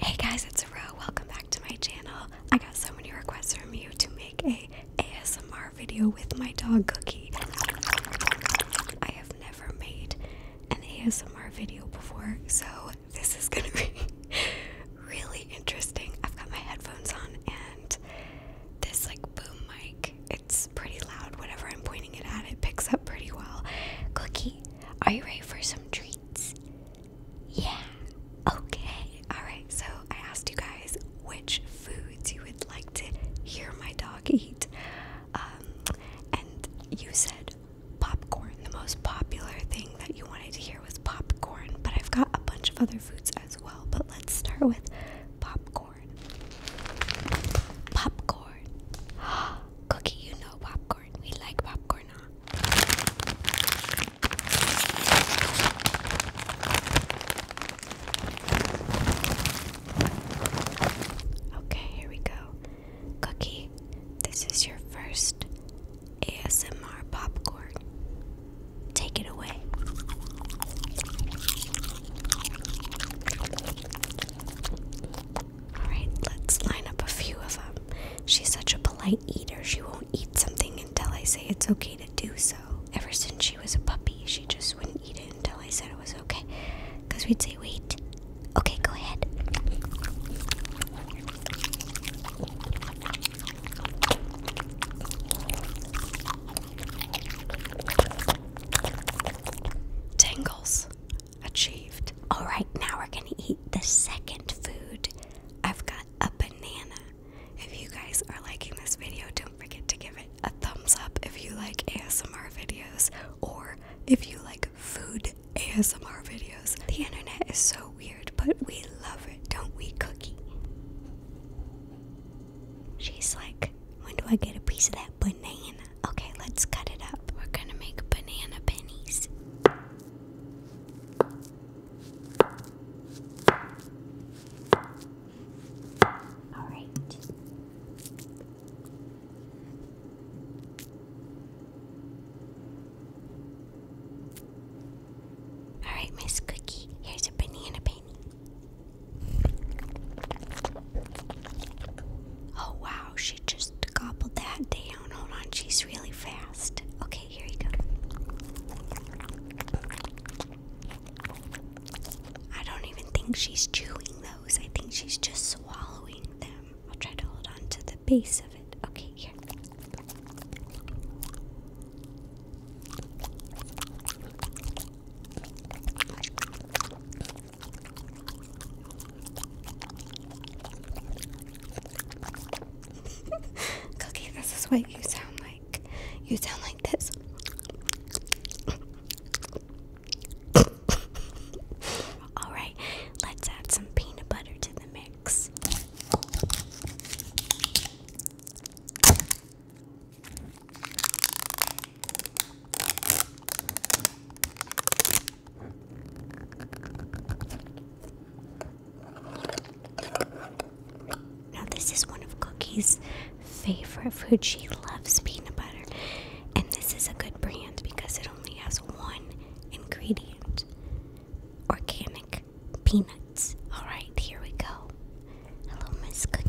Hey guys, it's Ro. Welcome back to my channel. I got so many requests from you to make a ASMR video with my dog Cookie. I have never made an ASMR video before, so this is gonna be really interesting. I've got my headphones on and this like boom mic. It's pretty loud. Whatever I'm pointing it at, it picks up pretty well. Cookie, are you ready for some treats? Yeah. Okay. Alright, so I asked you guys which foods you would like to hear my dog eat. Um, and you said popcorn. The most popular thing that you wanted to hear was popcorn, but I've got a bunch of other foods as well. But let's start with popcorn. Popcorn. Cookie, you know popcorn. We like popcorn, Okay, here we go. Cookie, this is your first ASMR popcorn. Take it away. Alright, let's line up a few of them. She's such a polite eater, she won't eat something until I say it's okay to do so. Ever since she was a puppy, she just wouldn't eat it until I said it was okay. Because we'd say, wait, okay, go ahead. Tangles achieved. All right, now we're gonna eat the second food. I've got a banana. If you guys are liking this video, don't forget to give it a thumbs up if you like ASMR videos or if you like food ASMR videos. The internet is so weird, but we love it, don't we, Cookie? She's like, when do I get a piece of that banana? Okay, let's cut it up. We're gonna make banana pennies. All right. All right, Miss Cookie, here's a banana penny. Oh wow, she just gobbled that down. Hold on, she's really fast. Okay, here you go. I don't even think she's chewing those. I think she's just swallowing them. I'll try to hold on to the base of it. Okay, here. Cookie, this is what you sound like. You sound like this. Alright, let's add some peanut butter to the mix. Now, this is one of Cookie's favorite food. She loves peanut butter. And this is a good brand because it only has one ingredient organic peanuts. Alright, here we go. Hello, Miss Cookie.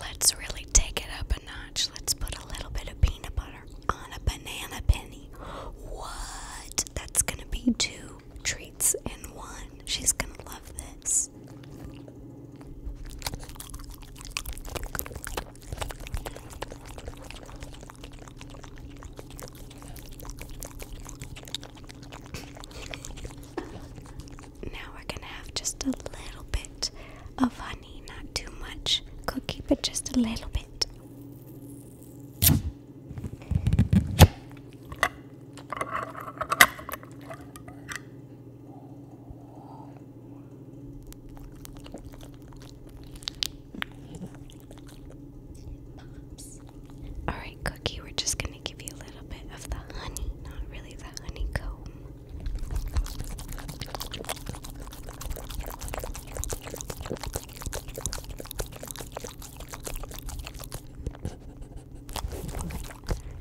Let's really take it up a notch. Let's put a little bit of peanut butter on a banana penny. What? That's gonna be two treats in one. She's gonna love this. now we're gonna have just a little bit of not too much. Go keep just a little bit. All right, Cookie, we're just going to give you a little bit of the honey, not really the honeycomb.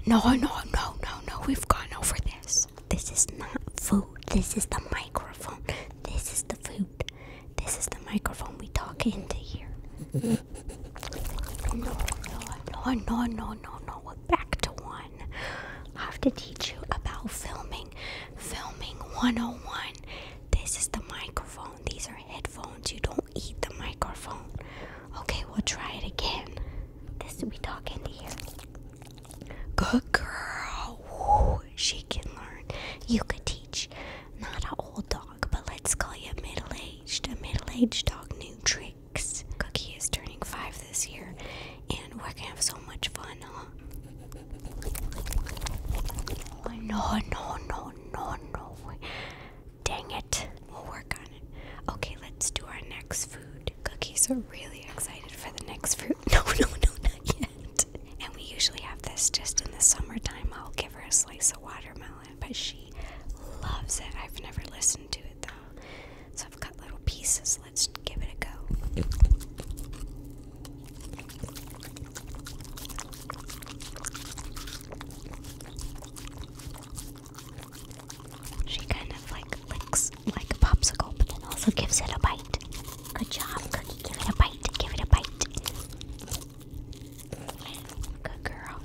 No, no, no, no, no. We've gone over this. This is not food. This is the microphone. This is the food. This is the microphone we talk into here. no, no, no, no, no, no, no. We're back to one. I have to teach you about filming. Filming 101. This is the microphone. These are headphones. You don't eat the microphone. Okay, we'll try it again. This will be talking to here. Good girl. she can learn. You could teach. Not an old dog, but let's call you a middle aged. A middle aged dog, new trick. Cookie is turning five this year, and we're gonna have so much fun, oh, no, no, no, no, no. Dang it. We'll work on it. Okay, let's do our next food. Cookies are really excited for the next fruit. No, no, no, not yet. And we usually have this just in the summertime. I'll give her a slice of watermelon, but she loves it. I've never listened to it though. So i little pieces. Let's give it a go. She kind of like licks like a popsicle, but then also gives it a bite. Good job, Cookie. Give it a bite. Give it a bite. Good girl.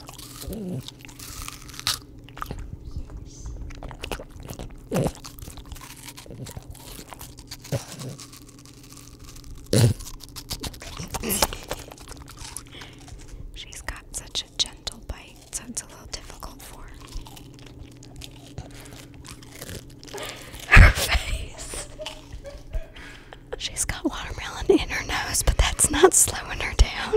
She's got such a gentle bite, so it's a little difficult for her. Her face. She's got watermelon in her nose, but that's not slowing her down.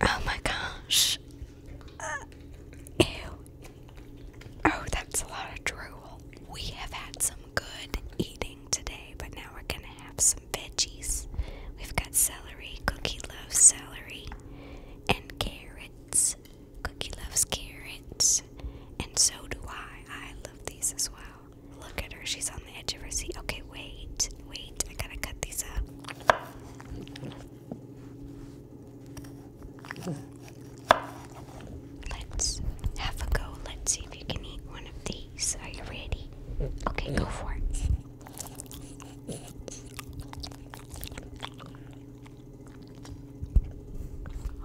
Oh my gosh. Uh, ew. Oh, that's a lot of drool. We have had some good eating today, but now we're gonna have some veggies. We've got celery, cookie loaf celery, and carrots, Cookie loves carrots, and so do I. I love these as well. Look at her, she's on the edge of her seat. Okay, wait, wait, I gotta cut these up. Let's have a go. Let's see if you can eat one of these. Are you ready? Okay, go for it.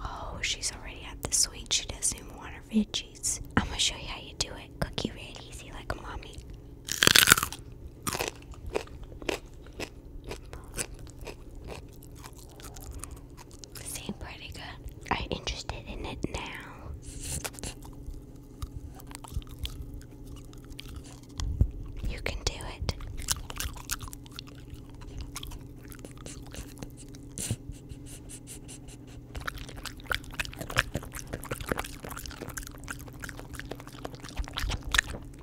Oh, she's already at the sweet. She doesn't even want her veggies. I'm gonna show you how you do it. Cookie real easy like mommy. Seem pretty good. Are interested in it now? You can do it.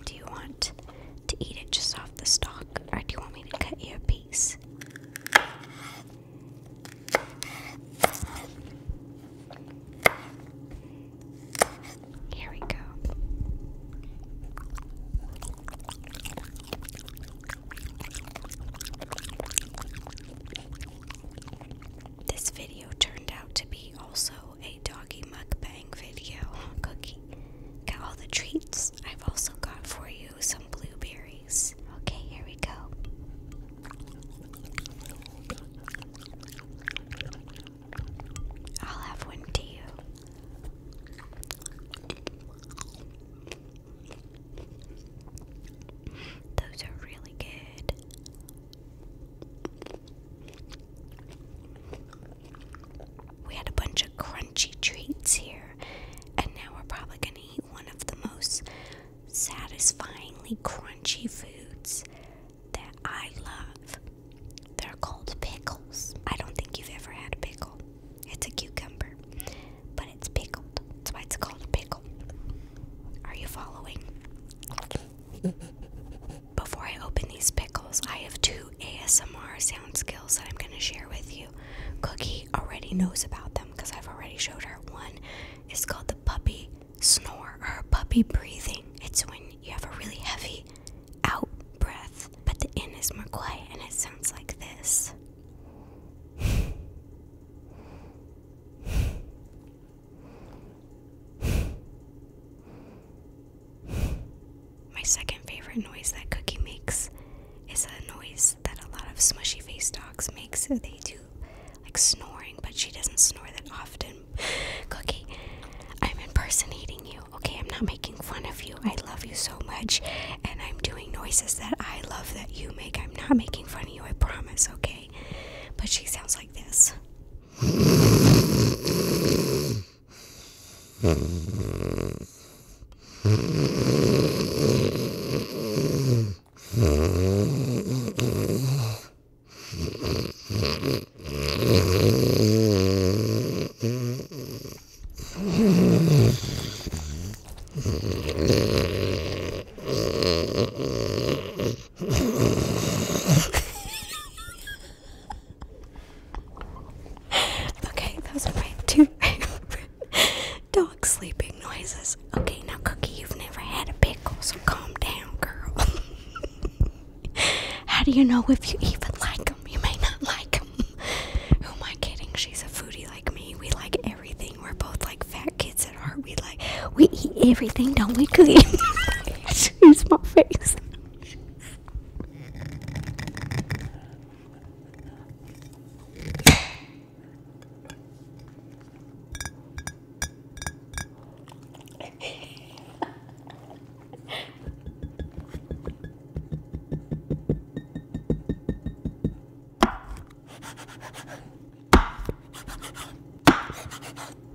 Do you want to eat it just off the stalk, or do you want me to cut you a piece? Here we go. This video turned out to be also a doggy mukbang video. Cookie. Got all the treats. I've also got for you some blueberries. Okay, here we go. I'll have one to Those are really good. We had a bunch of crunchy treats here, and now we're probably going to eat one of the most satisfyingly crunchy foods that I love. They're called pickles. I don't think you've ever had a pickle. It's a cucumber, but it's pickled. That's why it's called a pickle. Are you following? Before I open these pickles, I have two ASMR sound skills that I'm going to share with you. Cookie already knows about them because I've already showed her one. It's called the puppy snore or puppy breathing. It's when you have a really heavy out breath, but the in is more quiet and it sounds like this. My second favorite noise that Cookie makes is a noise that a lot of smushy face dogs make. So they do like snoring, but she doesn't snore that often. Cookie, I'm impersonating you, okay? I'm not making fun of you. I love you so much, and I'm doing noises that I love that you make. I'm not making fun of you, I promise, okay? But she sounds like this. okay, those are my two favorite dog sleeping noises. Okay, now, Cookie, you've never had a pickle, so calm down, girl. How do you know if you even like them? You may not like them. Who am I kidding? She's a foodie like me. We like everything. We're both like fat kids at heart. We like we eat everything, don't we? She's my face.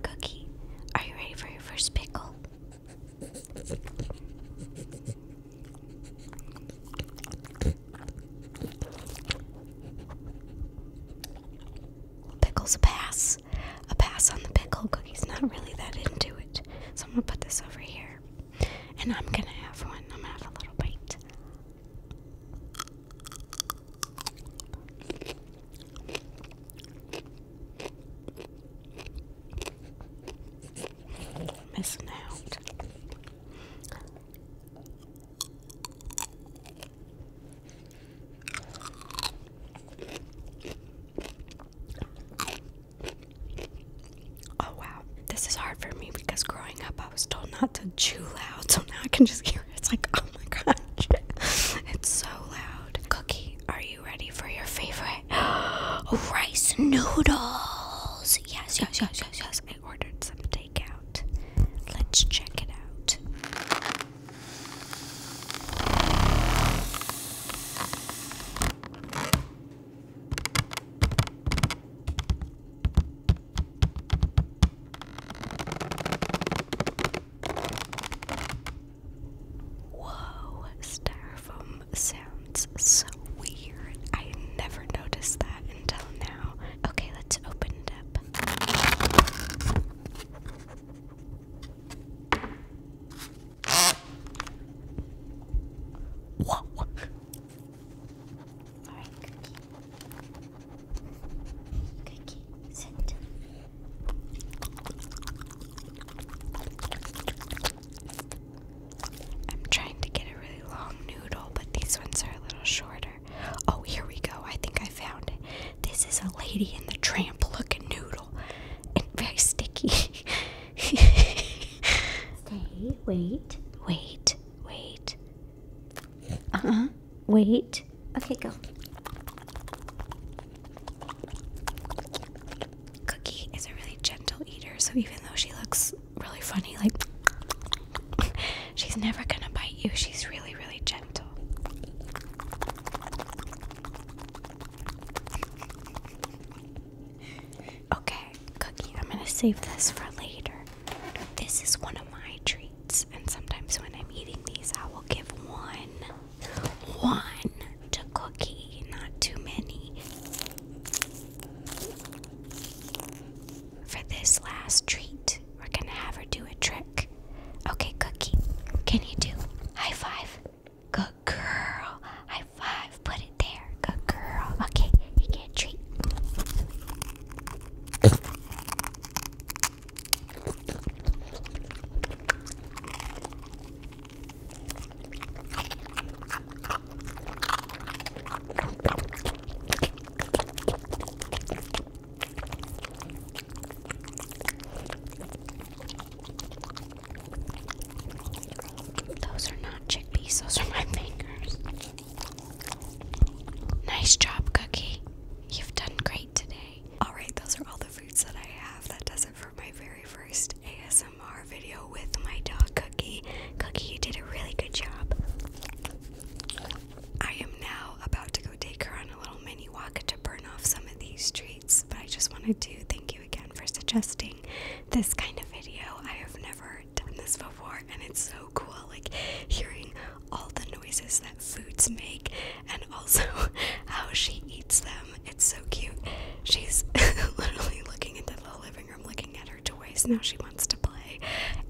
Cookie, are you ready for your first pickle? Pickles pass. A pass on the pickle cookies. Not really that into it. So I'm gonna put this over here. And I'm gonna have one. I'm gonna have a little bite. Missing out. Oh wow, this is hard for me because growing up I was told not to chew loud, so now I can just hear it. It's like, oh my gosh, it's so loud. Cookie, are you ready for your favorite rice noodles? Yes, yes, yes, yes, yes. I ordered some takeout. Let's check it out. Whoa, styrofoam sounds so weird. I never noticed that until now. Okay, let's open it up. Whoa. All right, cookie. Cookie, sit. I'm trying to get a really long noodle, but these ones are a little shorter. Oh, here we go. I think I found it. This is a lady in the tramp looking noodle and very sticky. Stay, wait, wait, wait. Uh huh, wait. Okay, go. Cookie is a really gentle eater, so even though she looks really funny, like she's never gonna bite you, she's really, really gentle. Okay, Cookie, I'm gonna save this for later. This is one of my treats, and sometimes when I'm eating these, I will give one, one to Cookie, not too many. For this last treat, we're gonna have her do a trick. Okay, Cookie, can you do high five? Good girl. High five. Put it there. Good girl. Okay, you can a treat. Those are not chickpeas, those are my fingers. Nice job, Cookie. You've done great today. Alright, those are all the fruits that I have. That does it for my very first ASMR video with my dog, Cookie. Cookie, you did a really good job. I am now about to go take her on a little mini walk to burn off some of these treats, but I just wanted to thank you again for suggesting this kind of video. I have never done this before, and it's so cool like hearing all the noises that foods make and also how she eats them. It's so cute. She's literally looking into the living room, looking at her toys. Now she wants to play.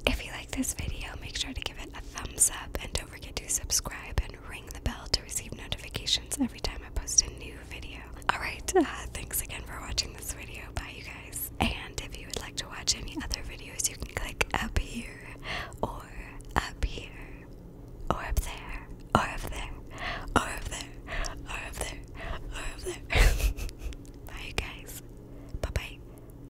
If you like like this video, make sure to give it a thumbs up and don't forget to subscribe and ring the bell to receive notifications every time I post a new video. Alright, uh, thanks again for watching this video. Bye, you guys. And if you would like to watch any other videos, you can click up here, or up here, or up there, or up there, or up there, or up there, or up there. Or up there. bye, you guys. Bye bye.